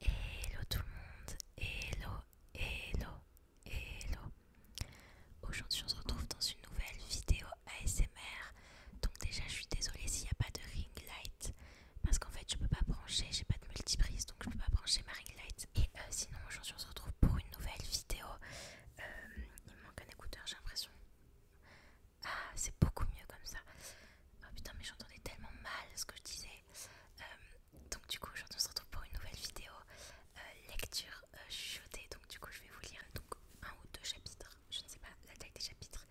Hello tout le monde, hello, hello, hello. Aujourd'hui on se retrouve dans une nouvelle vidéo ASMR. Donc déjà je suis désolée s'il n'y a pas de ring light parce qu'en fait je peux pas brancher, j'ai pas de multiprise donc je peux pas brancher ma ring light. Et euh, sinon aujourd'hui on se retrouve pour une nouvelle vidéo euh, il manque un écouteur, j'ai l'impression. Ah, c'est beaucoup mieux comme ça. Oh putain, mais j'entendais tellement mal ce que je disais. Euh, donc, du coup, aujourd'hui, on se retrouve pour une nouvelle vidéo euh, lecture euh, chotée. Donc, du coup, je vais vous lire donc, un ou deux chapitres. Je ne sais pas la taille des chapitres.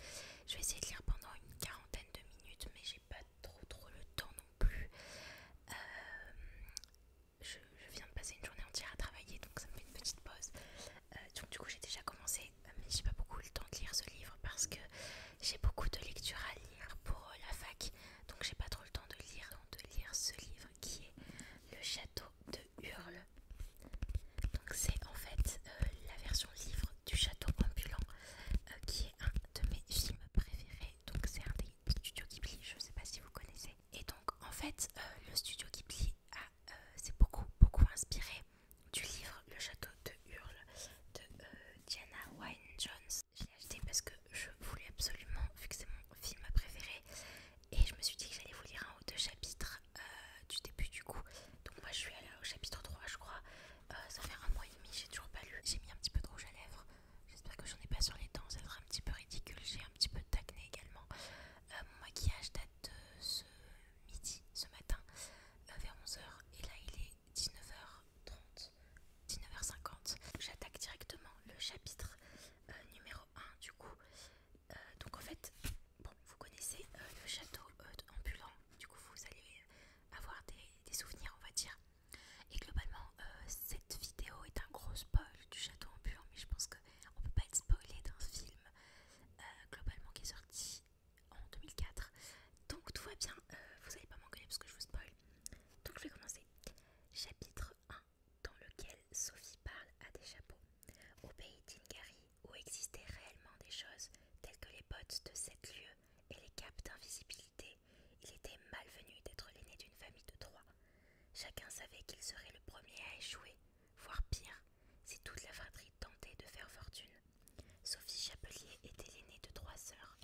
Je vais essayer de lire pendant une quarantaine de minutes, mais j'ai pas trop trop le temps non plus je, viens de passer une journée entière à travailler, donc ça me fait une petite pause. Euh, du coup j'ai déjà commencé, euh, mais j'ai pas beaucoup le temps de lire ce livre parce que j'ai beaucoup de lectures à lire pour euh, la fac, donc j'ai pas trop le temps de lire, de lire ce livre qui est Le Château de Hurle. Donc c'est en fait la version livre du Château ambulant, qui est un de mes films préférés. Donc c'est un des studios qui plie, je sais pas si vous connaissez. Et donc en fait euh, le studio Ghibli euh, s'est beaucoup beaucoup inspiré du livre Le Château de Hurle de euh, Diana Wynne Jones. Je l'ai acheté parce que je voulais absolument, vu que c'est mon film préféré, et je me suis dit que j'allais vous lire un ou deux chapitres du début du coup. Donc moi je suis allée au chapitre 3 je crois, ça fait un mois et demi, j'ai toujours pas lu. J'ai mis un petit peu de rouge à lèvres, j'espère que j'en ai pas sur les dents, ça fera un petit peu ridicule, j'ai un petit peu de d'acné également mon euh, maquillage date de ce midi, ce matin, euh, vers 11h. Et là, il est 19h30, 19h50. J'attaque directement le chapitre euh, numéro 1 du coup. donc en fait, bon, vous connaissez le château ambulant. Du coup, vous allez avoir des, souvenirs, on va dire. Et globalement, cette vidéo est un gros spoil du château ambulant, mais je pense que on peut pas être spoilé d'un film euh, globalement qui est sorti en 2004. Donc tout va bien, euh, vous allez pas m'engueuler parce que je vous spoil. Donc je vais commencer. Chapitre 1 dans lequel Sophie parle à des chapeaux. Au pays d'Ingari, où existaient réellement des choses telles que les bottes de 7 lieu et les capes d'invisibilité, il était malvenu d'être l'aîné d'une famille de trois. Chacun savait qu'il serait le premier à échouer voire pire, si toute la fratrie tentait de faire fortune. Sophie Chapelier était l'aînée de trois sœurs,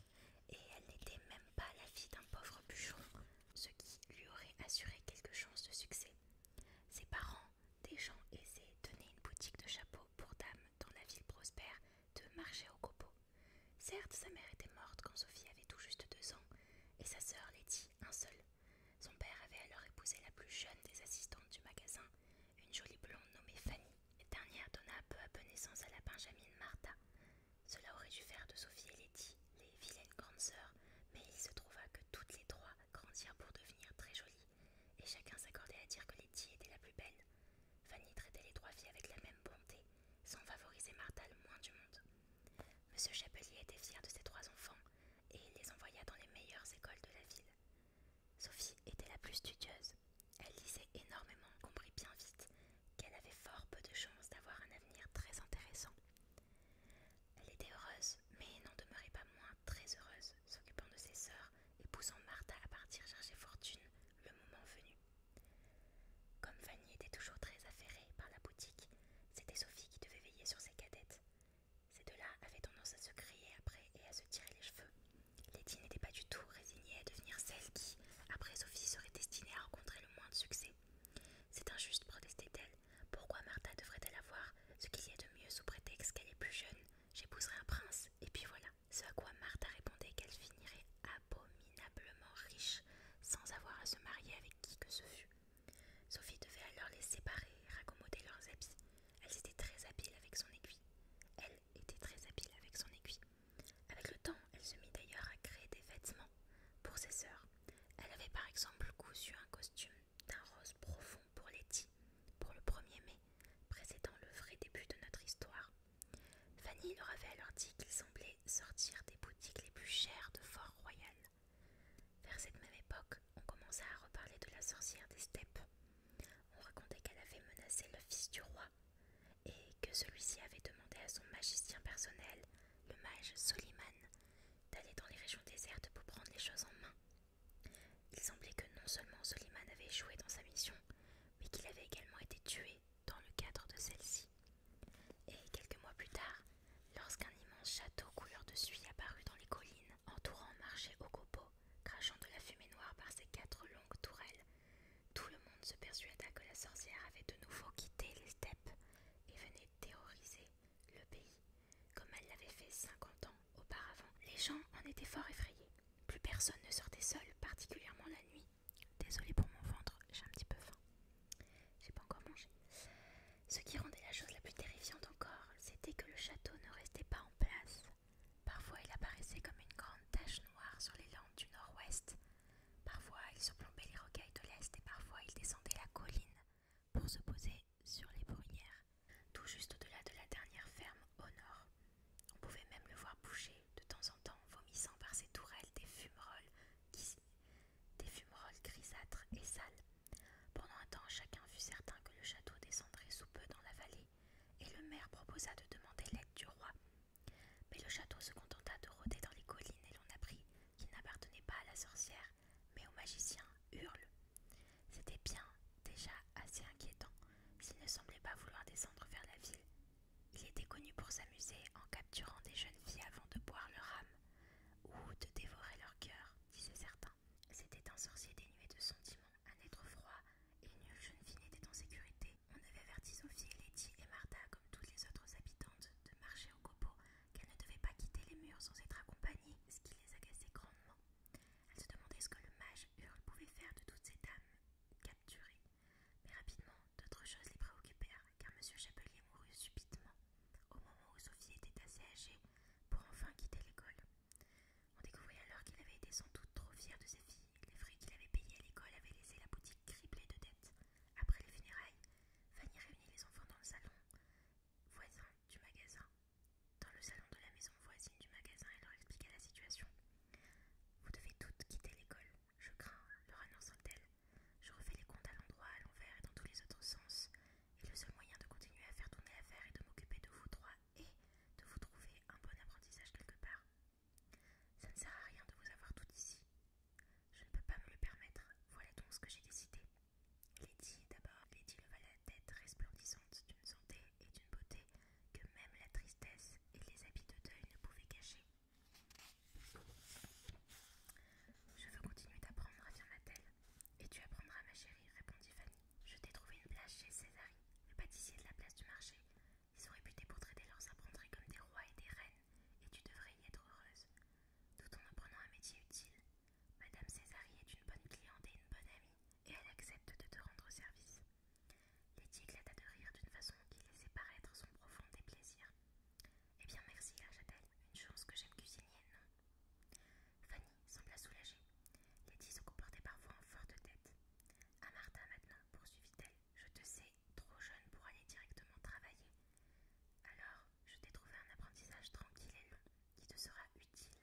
et elle n'était même pas la fille d'un pauvre bûcheron, ce qui lui aurait assuré quelque chance de succès. Ses parents, des gens aisés, tenaient une boutique de chapeaux pour dames dans la ville prospère de Marché au Copeaux. Certes, sa mère était morte quand Sophie avait tout juste deux ans, et sa sœur dit un seul. Son père avait alors épousé la plus jeune des assistantes du magasin, une jolie blonde nommée Fanny. et dernière donna peu à peu naissance à la benjamine Martha. Cela aurait dû faire de Sophie et Letty les vilaines grandes sœurs, mais il se trouva que toutes les trois grandirent pour devenir très jolies, et chacun s'accordait à dire que Letty était la plus belle. Fanny traitait les trois filles avec la même bonté, sans favoriser Martha le moins du monde. Monsieur Chapelier était fier de ses trois enfants, et les envoya dans les meilleures écoles de la ville. Sophie était la plus studieuse. Elle lisait énormément, comprit bien vite qu'elle avait fort peu de chances d'avoir un avenir très intéressant. Elle était heureuse, mais n'en demeurait pas moins très heureuse, s'occupant de ses sœurs et poussant Martha à partir chercher fortune le moment venu. Comme Fanny était toujours très affairée par la boutique, c'était Sophie qui devait veiller sur ses cadettes. Ces deux-là avaient tendance à se crier après et à se tirer les cheveux. Letty n'était pas du tout résignée à devenir celle qui, après Sophie, serait destinée à rencontrer le moins de succès. C'est injuste, protestait-elle. Pourquoi Martha devrait-elle avoir ce qu'il y a de mieux sous prétexte qu'elle est plus jeune J'épouserai un prince, et puis voilà. Ce à quoi Martha répondait qu'elle finirait abominablement riche, sans avoir à se marier avec qui que ce fût. Sophie devait alors les séparer et raccommoder leurs habits. Elle était très habile avec son aiguille. Elle était très habile avec son aiguille. Avec le temps, elle se mit d'ailleurs à créer des vêtements pour ses sœurs. Elle avait par exemple cousu un costume d'un rose profond pour Letty, pour le 1er mai, précédant le vrai début de notre histoire. Fanny leur avait alors dit qu'ils semblaient sortir des boutiques les plus chères de Fort-Royal. Vers cette même époque, on commença à reparler de la sorcière des steppes. On racontait qu'elle avait menacé le fils du roi et que celui-ci avait demandé à son magicien personnel, le mage Soliman, d'aller dans les régions désertes pour prendre les choses en main. Il semblait que non seulement Soliman avait échoué dans sa mission, mais qu'il avait également été tué dans le cadre de celle-ci. Et quelques mois plus tard, lorsqu'un immense château couleur de suie apparut dans les collines, entourant marché au copeaux, crachant de la fumée noire par ses quatre longues tourelles. Tout le monde se persuada que la sorcière avait de nouveau quitté les steppes et venait terroriser le pays, comme elle l'avait fait cinquante ans auparavant. Les gens en étaient fort effrayés. Plus personne ne sortait seul, particulièrement la nuit. Désolée pour mon ventre, j'ai un petit peu faim. J'ai pas encore mangé. Ce qui rendait la chose la plus terrifiante encore, c'était que le château ne restait pas en place. Parfois il apparaissait comme une grande tache noire sur les landes du nord-ouest, parfois il surplombait les rocailles de l'est et parfois il descendait la colline pour se poser sur les bruyères, tout juste au-delà de la dernière ferme au nord. On pouvait même le voir bouger de temps en temps, vomissant par ses tourelles des fumerolles, des fumerolles grisâtres et sales pendant un temps, chacun fut certain que le château descendrait sous peu dans la vallée, et le maire proposa de demander l'aide du roi. Mais le château se contenta de rôder dans les collines et l'on apprit qu'il n'appartenait pas à la sorcière, mais au magicien Hurle. C'était bien, déjà assez inquiétant, s'il ne semblait pas vouloir descendre vers la ville. Il était connu pour s'amuser en capturant des jeunes filles avant de boire leur âme, ou de dévorer leur cœur. Disait certain, C'était un sorcier dénué de sentiments, un être froid, et nulle jeune fille n'était en sécurité. On avait averti Sophie, Letty et Martha, comme toutes les autres habitantes, de marcher au copeau, qu'elles ne devaient pas quitter les murs sans être accompagnées, ce qui les agaçait grandement. Elles se demandaient ce que le mage Hurle pouvait faire de toutes ces dames capturées. Mais rapidement, d'autres choses les préoccupèrent, car M. Chapelier mourut subitement au moment où Sophie était assez âgée pour enfin quitter l'école. On découvrit alors qu'il avait été sans doute trop fier de sa fille. Les frais qu'il avait payés à l'école avaient laissé la boutique criblée de dettes. Après les funérailles, Fanny réunit les enfants dans le salon voisin du magasin. Dans le salon de la maison voisine du magasin, elle leur expliqua la situation. Vous devez toutes quitter l'école. Je crains, leur annonce t elle Je refais les comptes à l'endroit, à l'envers et dans tous les autres sens. Et le seul moyen de continuer à faire tourner l'affaire est de m'occuper de vous trois et de vous trouver un bon apprentissage quelque part. Ça ne sert à rien de vous avoir tout ici. Je ne peux pas me le permettre. Voilà donc ce que j'ai décidé. Lady, d'abord, Lady leva la tête resplendissante d'une santé et d'une beauté que même la tristesse et les habits de deuil ne pouvaient cacher. Je veux continuer d'apprendre, affirma-t-elle. Et tu apprendras, ma chérie, répondit Fanny. Je t'ai trouvé une place chez Césari, le pâtissier de la place du marché. Ils réputés pour traiter leurs apprentis comme des rois et des reines, et tu devrais y être heureuse, tout en apprenant un métier utile. Madame Césari est une bonne cliente et une bonne amie, et elle accepte de te rendre service. Letty éclata de rire d'une façon qui laissait paraître son profond déplaisir. Eh bien merci, la t Une chose que j'aime cuisiner, non Fanny sembla soulagée. Letty se comportait parfois en forte tête. À Martha maintenant, poursuivit-elle, je te sais trop jeune pour aller directement travailler. Alors, je t'ai trouvé un apprentissage tranquille et long qui te sera utile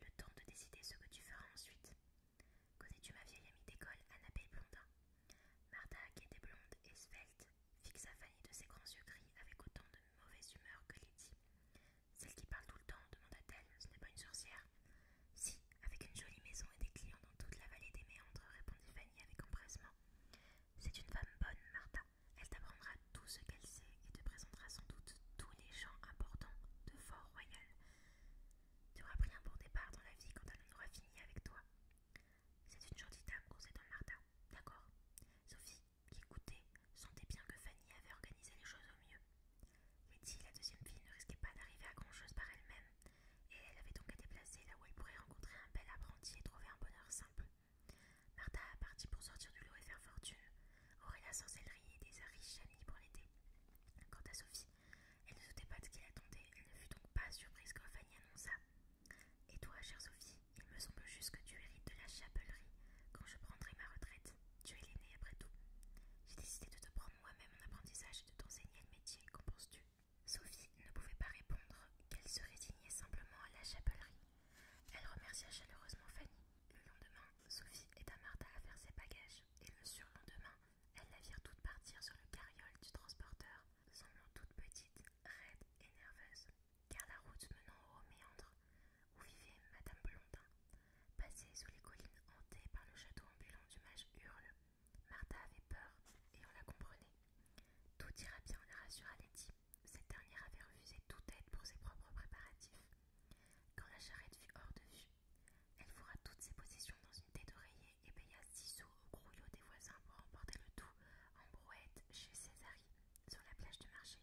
le temps de décider ce que tu feras ensuite. Connais-tu ma vieille amie d'école, Annabelle Blondin Martha, qui était blonde et svelte, fixa Fanny de ses grands yeux gris avec autant de mauvaise humeur que Lydie. Celle qui parle tout le temps, demanda-t-elle, ce n'est pas une sorcière Si, avec une jolie maison et des clients dans toute la vallée des méandres, répondit Fanny avec empressement. C'est une femme bonne, Martha. Elle t'apprendra tout ce qu'elle sait et te présentera sans doute tous les gens importants de Fort-Royal. Tu auras pris un bon départ dans la vie quand elle en aura fini avec toi. C'est une jolie dame, donc Martha. D'accord Sophie, qui écoutait sentait bien que Fanny avait organisé les choses au mieux. Letty, la deuxième fille, ne risquait pas d'arriver à grand-chose par elle-même, et elle avait donc à déplacer là où elle pourrait rencontrer un bel apprenti et trouver un bonheur simple. Martha a parti pour sortir du lot et faire fortune. la sorcellerie et des riches amis pour l'été. Quant à Sophie, elle ne doutait pas de ce qu'il attendait, elle ne fut donc pas surprise quand Fanny annonça. Et toi, chère Sophie, il me semble juste que tu hérites de la chapellerie quand je prendrai ma retraite. Tu es l'aînée après tout. J'ai décidé de te prendre moi-même en apprentissage et de t'enseigner le métier. Qu'en penses-tu Sophie ne pouvait pas répondre, qu'elle se résignait simplement à la chapellerie. Elle remercia chaleureusement Fanny. Le lendemain, Sophie aida Martha à faire ses bagages, et le surlendemain, elles la virent toutes partir sur le carriole du transporteur, semblant toute petite, raide et nerveuse car la route menant au méandre où vivait Madame Blondin passait sous les collines hantées par le château ambulant du mage Hurle. Martha avait peur et on la comprenait. Tout ira bien, la rassura Letty. Cette dernière avait refusé toute aide pour ses propres préparatifs. Quand la charrette fut hors de vue, elle fourra toutes ses possessions dans une tête d'oreiller et paya six sous au grouillot des voisins pour emporter le tout en brouette chez Césarie, sur la plage du marché.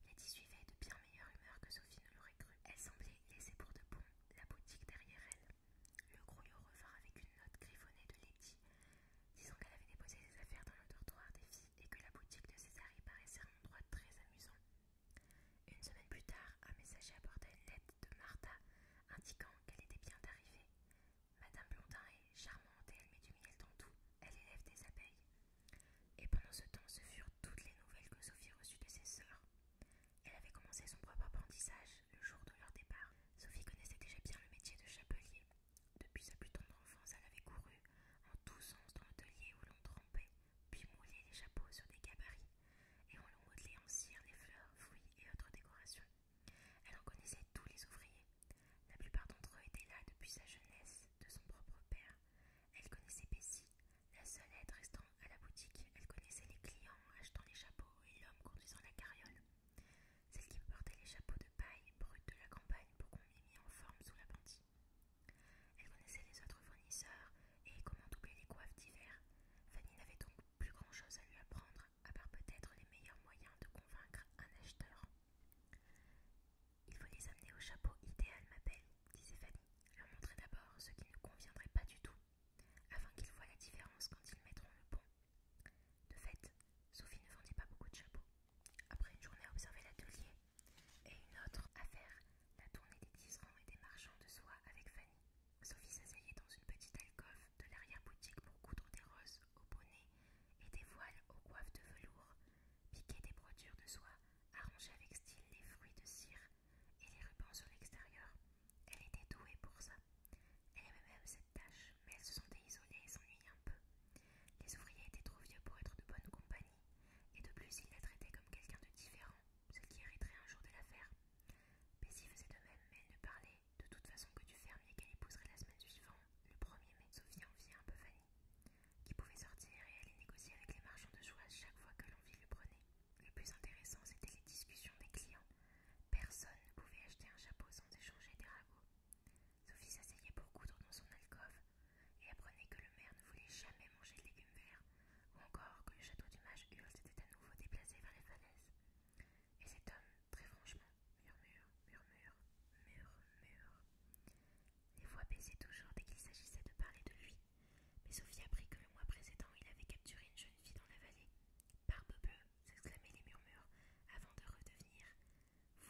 Lady suivait de bien meilleure humeur que Sophie ne l'aurait cru. Elle semblait laisser pour de bon la boutique derrière elle. Le grouillot revint avec une note griffonnée de Lady, disant qu'elle avait déposé ses affaires dans le dortoir des filles et que la boutique de y paraissait un endroit très amusant. Une semaine plus tard, un messager apportait une lettre de Martha indiquant qu'elle était bien arrivée. Madame Blondin est charmante et elle met du miel dans tout elle élève des abeilles. Et pendant ce temps, ce furent toutes les nouvelles que Sophie reçut de ses sœurs. Elle avait commencé son propre apprentissage le jour de leur départ. Sophie connaissait déjà bien le métier de chapelier. Depuis sa plus tendre enfance, elle avait couru en tous sens dans l'atelier où l'on trempait, puis moulait les chapeaux sur des gabarits, et on l'on modelait en cire les fleurs, fruits et autres décorations. Elle en connaissait tous les ouvriers, la plupart d'entre eux étaient là depuis sa jeunesse, de son propre père. Elle connaissait Bessie, la seule aide restant à la boutique. Elle connaissait les clients achetant les chapeaux et l'homme conduisant la carriole. Celle qui portait les chapeaux de paille brutes de la campagne pour qu'on les mette en forme sous la bandit. Elle connaissait les autres fournisseurs et comment doubler les coiffes d'hiver. Fanny n'avait donc plus grand-chose à lui apprendre, à part peut-être les meilleurs moyens de convaincre un acheteur. Il faut les amener au chapeau idéal, ma belle, disait Fanny. Leur montrer d'abord ce qui ne conviendrait pas du tout, afin qu'ils voient la différence quand ils mettront le bon. De fait, Sophie ne vendit pas beaucoup de chapeaux. Après une journée à observer l'atelier et une autre à faire la tournée des tisserands et des marchands de soie avec Fanny, Sophie s'asseyait dans une petite alcôve de l'arrière-boutique pour coudre des roses au bonnets et des voiles aux coiffes de velours piquait des brodures de soie, arrangeait avec style les fruits de cire et les rubans sur l'extérieur. Elle était douée pour ça. Elle aimait même cette tâche, mais elle se sentait isolée et s'ennuyait un peu. Les ouvriers étaient trop vieux pour être de bonne compagnie, et de plus ils la traitaient comme quelqu'un de différent, ce qui hériterait un jour de l'affaire. Mais Bessie faisait de même, mais elle ne parlait de toute façon que du fermier qu'elle épouserait la semaine suivante, le premier er mai. Sophie en un peu fanée qui pouvait sortir et aller négocier avec les marchands de joie chaque fois que l'envie le prenait. Le plus intéressant, c'était les discussions des clients. Personne ne pouvait acheter un chapeau sans échanger des ragots. Sophie s'asseyait pour coudre dans son alcôve et apprenait que le maire ne voulait jamais manger de légumes verts, ou encore que le château du mage s'était à nouveau déplacé vers les falaises. Et cet homme, très franchement, murmure, murmure, murmure. Les voix baissaient toujours dès qu'il s'agissait de parler de lui. Mais Sophie apprit que le mois précédent, il avait capturé une jeune fille dans la vallée. Barbe bleue, s'exclamaient les murmures, avant de redevenir.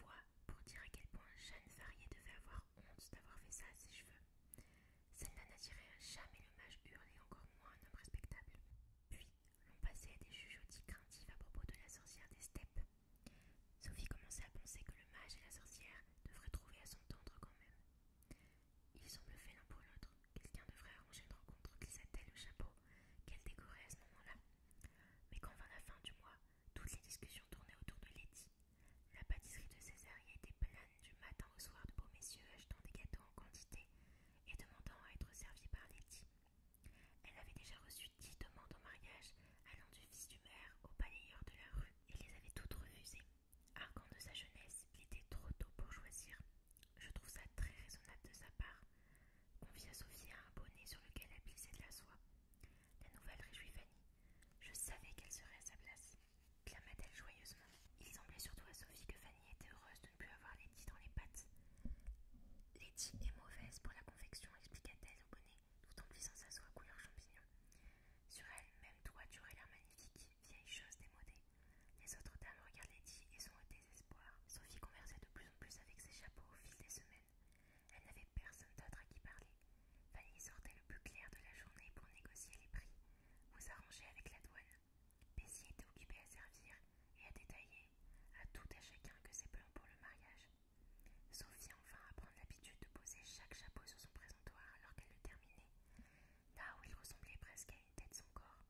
Voix pour dire à quel point Jeanne Varier devait avoir honte d'avoir fait ça à ses cheveux. Celle-là n'attirait jamais le mage encore moins un homme respectable. Puis l'on passait à des outils craintifs à propos de la sorcière des steppes, Sophie commençait à penser que le mage et la sorcière devraient trouver à s'entendre quand même. Ils semblent faits l'un pour l'autre. Quelqu'un devrait arranger une rencontre qui s'attelle au chapeau qu'elle décorait à ce moment-là. Mais quand vint la fin du mois, toutes les discussions tournaient autour de Letty. La pâtisserie de césar y était pleine du matin au soir de beaux messieurs achetant des gâteaux en quantité et demandant à être servis par Letty. Elle avait déjà reçu dix demandes en mariage allant du fils du maire au balayeur de la rue et les avait toutes refusées. Argan de sa jeunesse, il était trop tôt pour choisir. Je trouve ça très raisonnable de sa part. Confia Sophie à un bonnet sur lequel elle plissait de la soie. La nouvelle réjouit Fanny. Je savais qu'elle serait à sa place, clama-t-elle joyeusement. Il semblait surtout à Sophie que Fanny était heureuse de ne plus avoir Letty dans les pattes. Letty est mauvaise pour la confection, expliqua-t-elle au bonnet. Tout plus en sa soie couleur champignon. Sur elle, même toi, tu aurais l'air magnifique, vieille chose démodée. Les autres dames regardaient Lady et sont au désespoir. Sophie conversait de plus en plus avec ses chapeaux au fil des semaines. Elle n'avait personne d'autre à qui parler. Fanny sortait le plus clair de la journée pour négocier les prix, vous arranger avec la douane. Bessie était occupée à servir et à détailler à tout à chacun que ses plans pour le mariage. Sophie enfin apprend pris l'habitude de poser chaque chapeau sur son présentoir alors qu'elle le terminait, là où il ressemblait presque à une tête sans corps.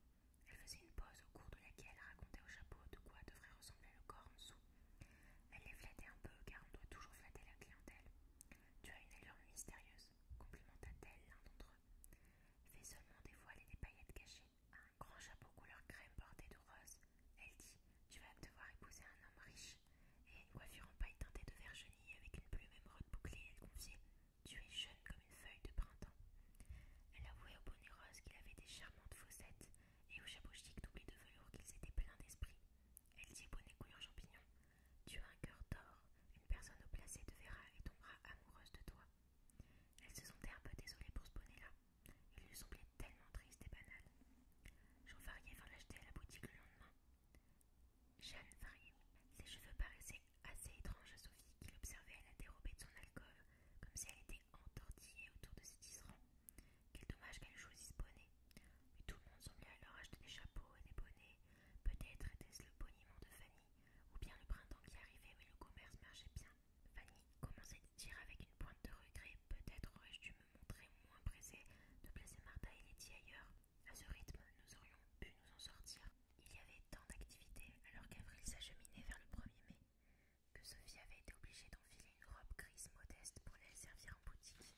Elle faisait une pause au cours de laquelle elle racontait au chapeau de quoi devrait ressembler le corps en dessous. Elle les flattait un peu car on doit toujours flatter la clientèle. Tu as une allure mystérieuse, complimenta-t-elle l'un d'entre eux. Fais seulement des voiles et des paillettes cachées à un grand chapeau couleur crème bordé de rose elle dit Tu vas devoir épouser un homme riche et une coiffure en paille teintée de vergenie avec une plume émeraude bouclée. Elle confiait Tu es jeune comme une feuille de printemps. Elle avouait au bonnet rose qu'il avait des charmantes fossettes et au chapeau chic doublé de velours qu'ils étaient pleins d'esprit. Elle dit au bonnet couleur champignon Tu as un cœur d'or, une personne au placé te verra et tombera amoureuse de toi. Elle se sentait un peu désolée pour ce bonnet-là, il lui semblait tellement triste et banal. Jean Varier vint l'acheter à la boutique le lendemain. Jeanne Varier. Ses cheveux paraissaient assez étranges à Sophie, qui l'observait à la dérobée de son alcool, comme si elle était entortillée autour de ses tisserands. Quel dommage qu'elle choisisse bonnet. Mais tout le monde semblait alors acheter des chapeaux et des bonnets. Peut-être était-ce le boniment de Fanny, ou bien le printemps qui arrivait, mais le commerce marchait bien. Fanny commençait à dire avec une pointe de regret peut-être aurais-je dû me montrer moins pressée de placer Martha et Lady ailleurs. À ce rythme, nous aurions pu nous en sortir. Il y avait tant d'activités alors qu'Avril s'acheminait vers le 1er mai que Sophie avait été obligée d'enfiler une robe grise modeste pour les servir en boutique.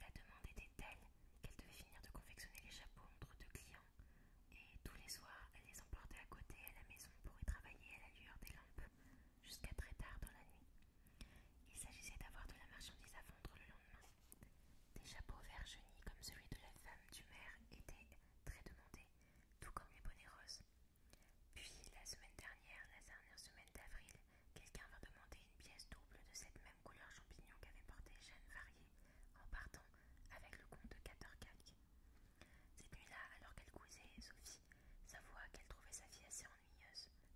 La demande était telle qu'elle devait finir de confectionner les chapeaux entre deux clients et tous les soirs elle les emportait à côté à la maison pour y travailler à la lueur des lampes jusqu'à très tard dans la nuit. Il s'agissait d'avoir de la marchandise à vendre le lendemain. Des chapeaux verts jaunis comme celui de la femme du maire étaient très demandés, tout comme les bonnets roses. Puis, la semaine dernière, la dernière semaine d'avril, quelqu'un vint demander une pièce double de cette même couleur champignon qu'avait portée Jeanne Varier en partant avec le comte de calques. Cette nuit-là, alors qu'elle cousait, Sophie, sa voix qu'elle trouvait sa fille assez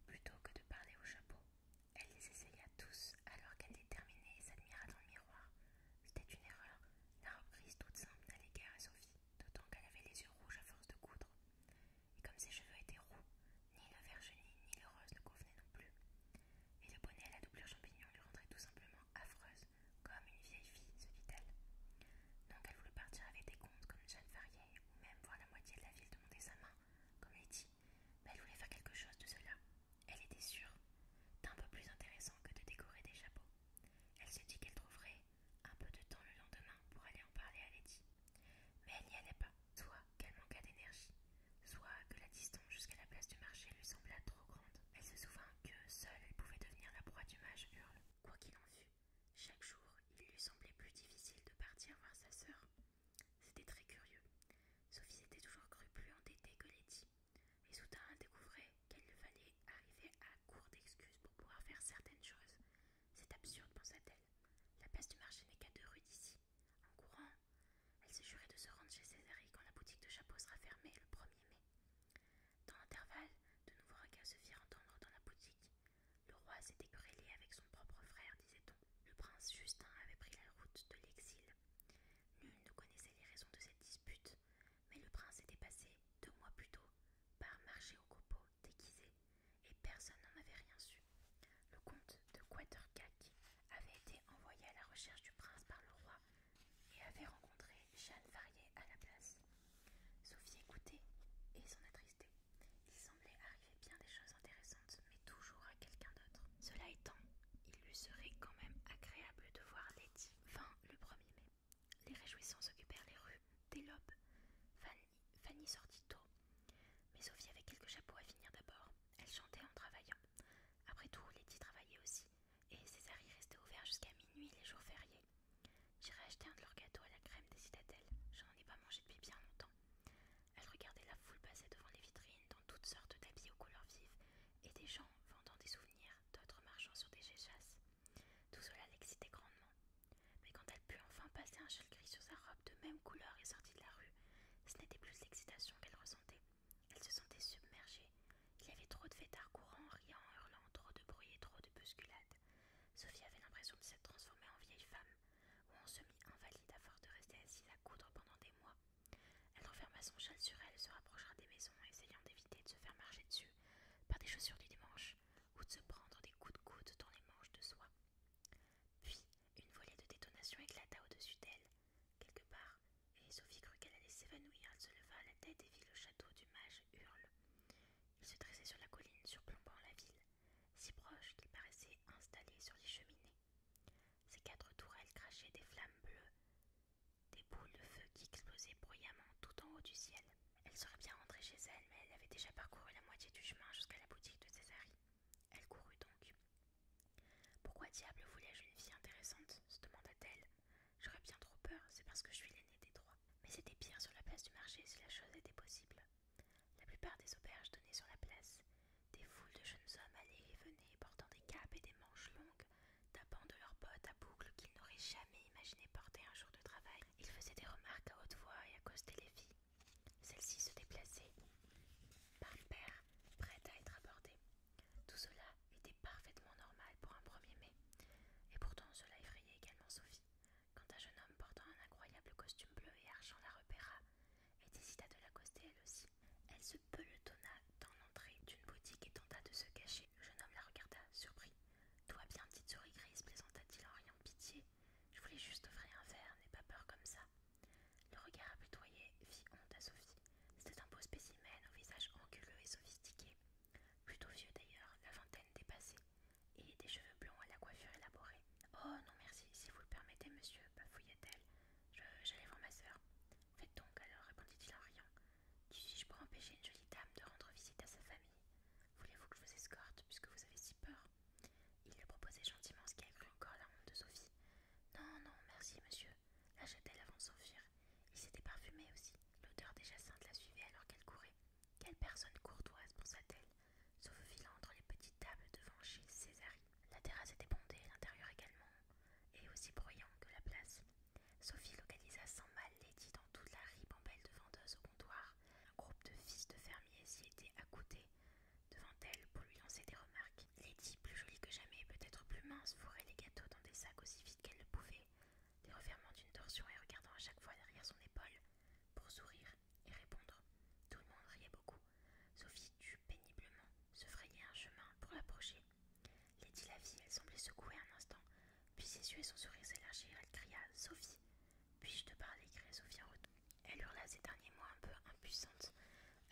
plutôt que de parler au chapeau. Elle les essaya tous alors qu'elle déterminait et s'admira dans le miroir. C'était une erreur, la reprise toute simple n'allait guère à Sophie, d'autant qu'elle avait les yeux rouges à force de coudre. Et comme ses cheveux étaient roux, ni la virginie ni le rose ne convenaient non plus. Et le bonnet à la doublure champignon lui rendrait tout simplement affreuse, comme une vieille fille, se dit-elle. Donc elle voulait partir avec des comptes comme Jeanne Farrier, ou même voir la moitié de la ville demander sa main, comme Lady, mais elle voulait faire quelque chose de cela. Elle était sûre d'un peu plus intéressant que de décorer des chapeaux. Elle se dit qu'elle trouverait un peu de temps le lendemain pour aller en parler à Lady, Mais elle n'y allait pas, soit qu'elle manquât d'énergie, soit que la distance jusqu'à la place du marché lui semblait trop grande. Elle se souvint que seule elle pouvait devenir la proie du mage Hurle. Quoi qu'il en fût, chaque jour, il lui semblait plus difficile de partir voir sa sœur. C'était très curieux. Sophie s'était toujours crue plus endettée que Letty, et soudain elle découvrait qu'elle lui fallait arriver à court d'excuses pour pouvoir faire certaines choses. C'est absurde, pensa-t-elle. La place du marché n'est qu'à deux rues d'ici. En courant, elle se jurait de se rendre chez Césarie quand la boutique de chapeaux sera fermée le 1er mai. Dans l'intervalle, de nouveaux regards se firent entendre dans la boutique. Le roi s'était querellé avec son propre frère, disait-on. Le prince Justin avait pris la route de l'exil. Nul ne connaissait les raisons de cette dispute, mais le prince était passé, deux mois plus tôt, par marché au copeau, déguisé, et personne n'en avait rien su. Le comte de Quatercac avait été envoyé à la recherche du prince par le roi et avait rencontré Jeanne Farrier à la place. Sophie écoutait et s'en attristait. Il semblait arriver bien des choses intéressantes, mais toujours à quelqu'un d'autre. Cela étant, il lui serait quand même agréable de voir Letty. Fin le 1er mai. Les réjouissances occupèrent les rues des lobes. Fanny, sortit tôt, mais Sophie avait quelques chapeaux à finir d'abord. Elle chantait en travaillant. Après tout, Letty travaillait aussi, et César y restait ouvert jusqu'à minuit les jours fériés. J'irai acheter un de leurs gâteaux à la crème, des citadelles. Je n'en ai pas mangé depuis bien longtemps. Elle regardait la foule passer devant les vitrines dans toutes sortes d'habits aux couleurs vives et des gens vendant des souvenirs, d'autres marchant sur des géchasses. Tout cela l'excitait grandement. Mais quand elle put enfin passer un châle gris sur sa robe de même couleur et sortit de la rue, ce n'était plus l'excitation qu'elle ressentait. Elle se sentait submergée. Il y avait trop de fêtards courant, riant, hurlant, trop de bruit et trop de bousculade Sophie avait l'impression de s'être transformée en vieille femme, ou se semi-invalide à force de rester assise à coudre pendant des mois. Elle referma son châle sur elle se rapprocha des maisons, essayant d'éviter de se faire marcher dessus par des chaussures du dimanche, ou de se prendre des coups de coude dans les manches de soie. Puis, une volée de détonation éclata au-dessus d'elle, quelque part, et Sophie crut qu'elle allait s'évanouir. Elle se leva à la tête et vit le château du mage Hurle. Il se dressait sur la colline surplombant la ville si proche qu'il paraissait installé sur les cheminées. Ces quatre tourelles crachaient des flammes bleues, des boules de feu qui explosaient bruyamment tout en haut du ciel. Elle serait bien rentrée chez elle, mais elle avait déjà parcouru la moitié du chemin jusqu'à la boutique de Césari. Elle courut donc. Pourquoi diable voulais-je une vie intéressante se demanda-t-elle. J'aurais bien trop peur, c'est parce que je suis l'aînée des trois. Mais c'était pire sur la place du marché si la chose était possible. La plupart des auberges donnaient sur la place. Des foules de jeunes hommes allaient et venaient, portant des capes et des manches longues, tapant de leurs bottes à boucles qu'ils n'auraient jamais imaginé porter un jour de travail. Ils faisaient des remarques à haute voix et accostaient les filles. Celles-ci se déplaçaient par père, prêtes à être abordées. Tout cela était parfaitement normal pour un 1er mai. Et pourtant, cela effrayait également Sophie quand un jeune homme portant un incroyable costume bleu et argent la repéra elle décida de l'accoster elle aussi. Elle se pelotonna dans l'entrée d'une boutique et tenta de se cacher. Le jeune homme la regarda, surpris. Toi bien, petite souris grise, plaisanta-t-il en riant pitié. Je voulais juste offrir un verre, n'aie pas peur comme ça. Le regard apitoyé fit honte à Sophie. C'était un beau spécimen au visage anguleux et sophistiqué. Plutôt vieux d'ailleurs, la vingtaine dépassée et des cheveux blonds à la coiffure élaborée. Oh non merci, si vous le permettez, monsieur, bafouilla-t-elle. J'allais voir ma sœur. Faites donc alors, répondit-il en riant. Qui suis-je pour empêcher une jolie dame de rendre visite à sa famille Voulez-vous que je vous escorte, puisque vous avez si peur Il lui proposait gentiment ce qui avait encore la honte de Sophie. Non, non, merci, monsieur, La t elle avant de s'enfuir. Il s'était parfumé aussi. L'odeur des sainte la suivait alors qu'elle courait. Quelle personne courtoise, pensa-t-elle sauf filant entre les petites tables devant chez Césari. La terrasse était bondée, l'intérieur également, et aussi bruyant que la place. Sophie localisa sans mal Lady dans toute la ribambelle de vendeuse au comptoir. Un groupe de fils de fermiers s'y était accoudé devant elle pour lui lancer des remarques. Lady, plus jolie que jamais, peut-être plus mince, fourrait les gâteaux dans des sacs aussi vite qu'elle le pouvait, les refermant d'une torsion et regardant à chaque fois derrière son épaule pour sourire et répondre. Tout le monde riait beaucoup. Sophie dut péniblement se frayer un chemin pour l'approcher. Lady la vit, elle semblait secouer un instant. Puis ses yeux et son sourire s'élargirent. Elle cria Sophie Puis-je te parler cria Sophie en Elle hurla ces derniers mots un peu impuissantes,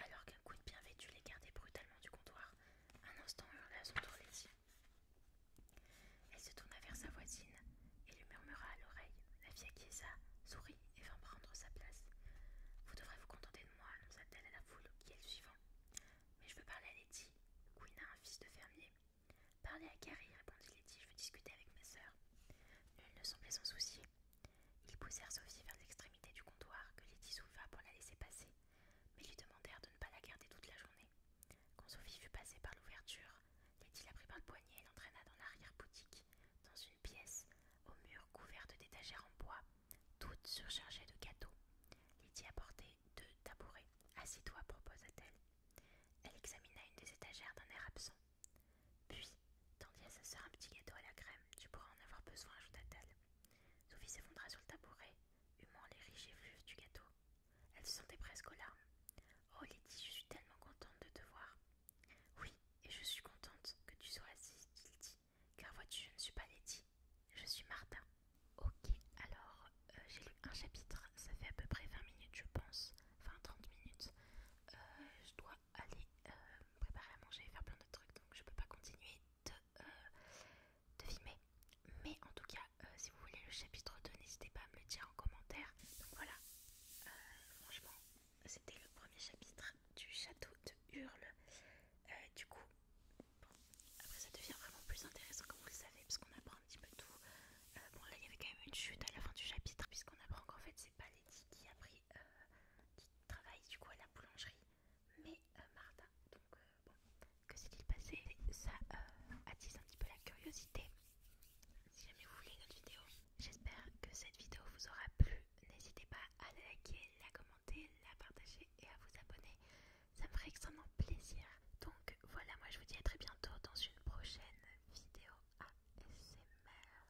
alors qu'un de bien vêtu gardait brutalement du comptoir. Un instant hurla son tour elle se tourna vers sa voisine et lui murmura à l'oreille. La vieille acquiesça, sourit et vint prendre sa place. Vous devrez vous contenter de moi, nous t elle à la foule qui est le suivant. Mais je veux parler à Letty. Queen a un fils de fermier. Parlez à Carrie, répondit Letty, je veux discuter avec ma sœur. Nul ne semblait s'en soucier. Ils poussèrent Sophie vers l'extrémité du comptoir que Letty souleva pour la laisser passer, mais lui demandèrent de ne pas la garder toute la journée. Quand Sophie fut passée par l'ouverture, Lady la prit par le poignet et l'entraîna dans l'arrière-boutique, dans une pièce, aux murs couverts d'étagères en bois, toutes surchargées de gâteaux. Lydie apportait deux tabourets. Assis-toi, proposa-t-elle. Elle examina une des étagères d'un air absent. Puis, "Tandis à sa un petit gâteau à la crème. Tu pourras en avoir besoin, ajouta-t-elle. Sophie s'effondra sur le tabouret, humant les riches effluves du gâteau. Elle se sentait presque au Oh Lady, je suis tellement contente de te voir. Oui, et je suis contente que tu sois assise, Lydie, car vois-tu, je ne suis pas Lady, je suis Martin. Ok, alors, euh, j'ai lu un chapitre, ça fait à peu près 20 minutes, je pense, enfin 30 minutes. Euh, je dois aller euh, me préparer à manger et faire plein de trucs, donc je ne peux pas continuer de, filmer. Mais en tout cas, si vous voulez le chapitre 2, n'hésitez pas à me le dire en commentaire. Donc voilà, franchement, c'était le premier chapitre du château de Hurle. Euh, du coup, après ça devient vraiment plus intéressant comme vous le savez, parce qu'on apprend un petit peu tout. Euh, bon, là il y avait quand même une chute à la fin du chapitre, puisqu'on apprend qu'en fait c'est pas Lady qui a pris, euh, qui travaille du coup à la boulangerie, mais Martin. Donc, bon, que s'est-il passé Ça attise un petit peu la curiosité si jamais vous voulez une autre vidéo. J'espère que cette vidéo vous aura plu. N'hésitez pas à la liker, la commenter, la partager et à vous abonner. Ça me ferait extrêmement plaisir. Donc voilà, moi je vous dis à très bientôt dans une prochaine vidéo ASMR.